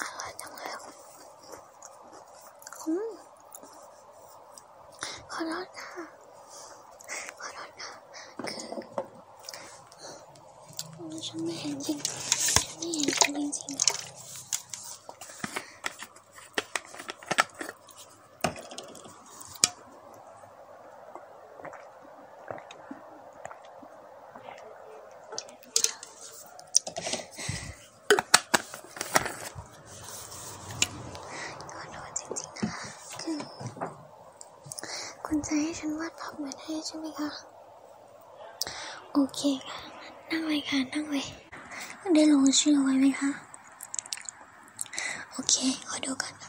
อร่อยจังเลยอืมขอรสค่ะขอรสค่ะคือฉันไม่เห็นจริงฉันไม่เห็นจริงจริงค่ะขอโทษจริงๆนะคุณจให้ฉันวาดภาพเหมือนให้ใช่ไหมคะ โอเคค่ะ นั่งเลยค่ะ นั่งเลยได้ลงชื่อไว้ไหมคะ โอเค ขอดูกันค่ะ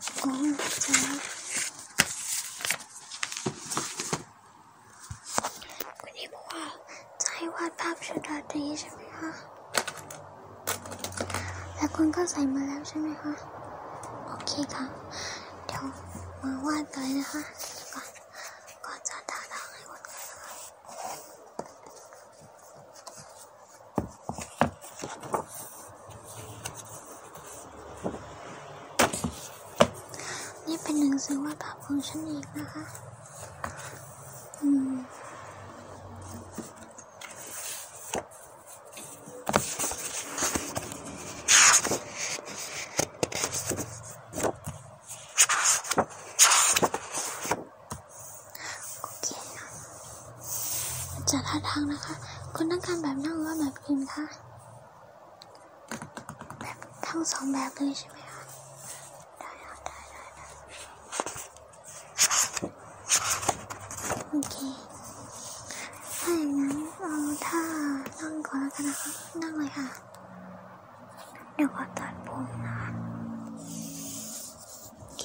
โอ้คุณนี่บอกว่าให้วาภาพชุดราตรีใช่ไหมคะ แล้คุณก็ใส่มาแล้วใช่ไหมคะ โอเคค่ะเดี๋ยวมาวาดเลยนะคะก่อนก่อนจะทาทางให้คุณนะคะนี่เป็นหนังสือวาดภาพของฉันเองนะคะ อืมโอเคจากท่าทางนะคะ คุณต้องการแบบนั่งหรือว่าแบบยืนคะแบบทั้งสองแบบเลยใช่ไหมคะได้ค่ะ ได้ได้ได้โอเค ถ้าอย่างนั้นเอาท่านั่งก่อนแล้วกันนะคะ นั่งเลยค่ะ เดี๋ยวขอตัดผมนะโอเค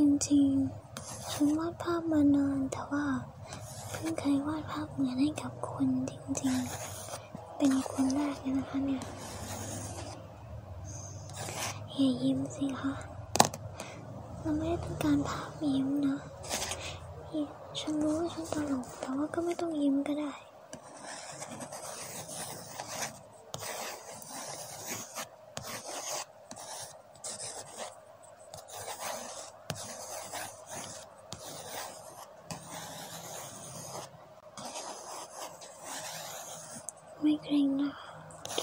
จริงๆฉันวาดภาพมานานแต่ว่าเพิ่งเคยวาดภาพเหมือนให้กับคนจริงๆ เป็นคนแรกเลยนะคะเนี่ยอย่ายิ้มสิคะเราไม่ได้ต้องการภาพยิ้มนะฉันรู้ว่าฉันตลกแต่ว่าก็ไม่ต้องยิ้มก็ได้ ไม่เกรงนะโอ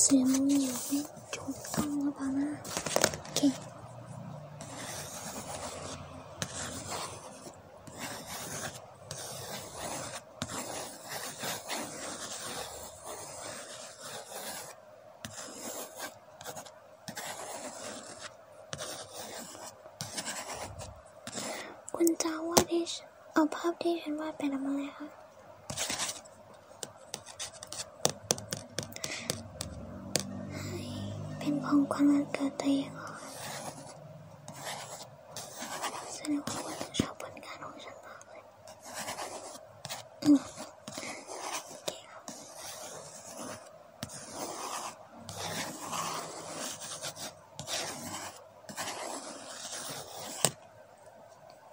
เสียงันอยู่ไม่ถูกต้องหรือเปล่านะโอเคคุณจาว่าดิฉเอาภาพที่ฉันวาดไป็นอะไรคะเป็นของขวัญวันเกิดตัวเองเหรอแสดงว่าคุณชอบผลงานของฉันมากเลย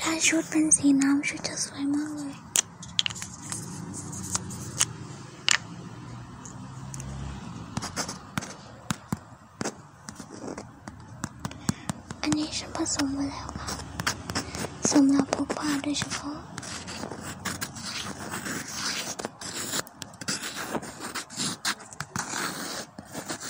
ถ้าชุดเป็นสีน้ำชุดจะสวยมากเลย อันนี้ฉันผสมมาแล้วค่ะสำหรับพวกผ้าโดยเฉพาะ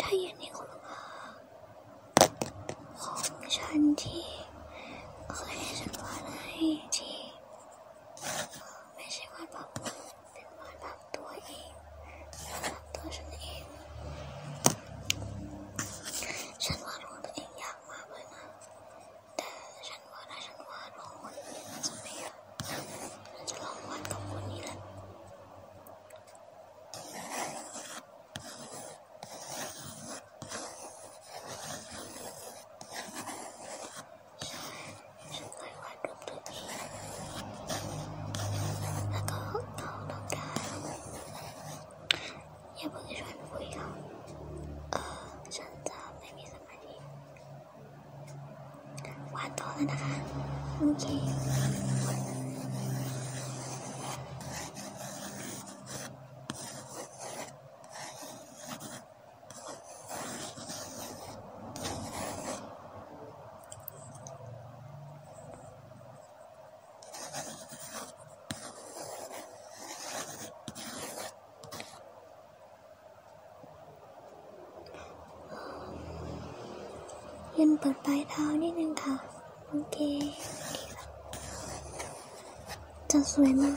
ถ้าอยู่ในคุณค่าของฉันที่เคยให้ฉันวาดให้ที่ไม่ใช่วาดแบบเป็นวาดแบบตัวเองแบบตัวฉันเอง ฉันวาดรูปตัวเองยากมากเลยนะแต่ฉันว่าถ้าฉันวาดของคนอื่นน่าจะไม่นะฉันจะลองวาดกับคนนี้แหละ ฉันเคยวาดรูปตัวเองแล้วก็เขาลองได้อย่าเพิ่งชวนคุยเขาเออฉันจะไม่มีสมาธิวาดต่อแล้วนะคะ โอเคยืนเปิดปลายเท้านิดนึงค่ะโอเค จะสวยมาก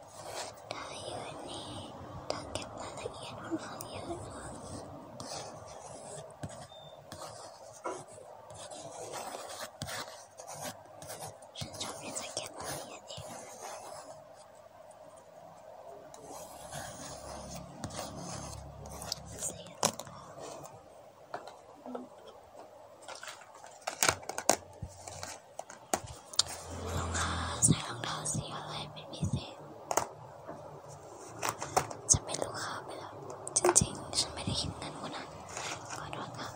ถ้ายืนนี่ต้องเก็บรายละเอียดค่อนข้างเยอะค่ะฉันชอบที่จะเก็บรายละเอียดเองลูกค้าใส่รองเท้าสีอะไรเป็นพิเศษจะเป็นลูกค้าไปแล้วจริงๆฉันไม่ได้คิดนั้นคนนั้นขอโทษค่ะ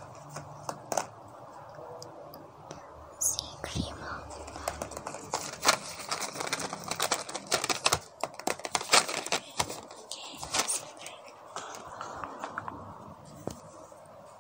สีครีมเหรอ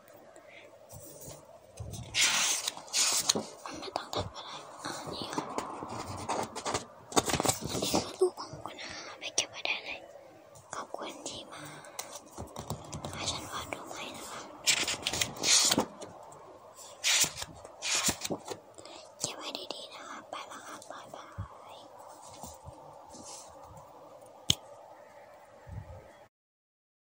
ไม่ต้องทำอะไรอ่านี่ค่ะอันนี้ก็ลูกของคุณอาไม่เก็บไว้ได้เลยขอบคุณที่มาให้ฉันวาดรูปให้นะคะเก็บไว้ดีๆนะคะไปละค่ะบายบาย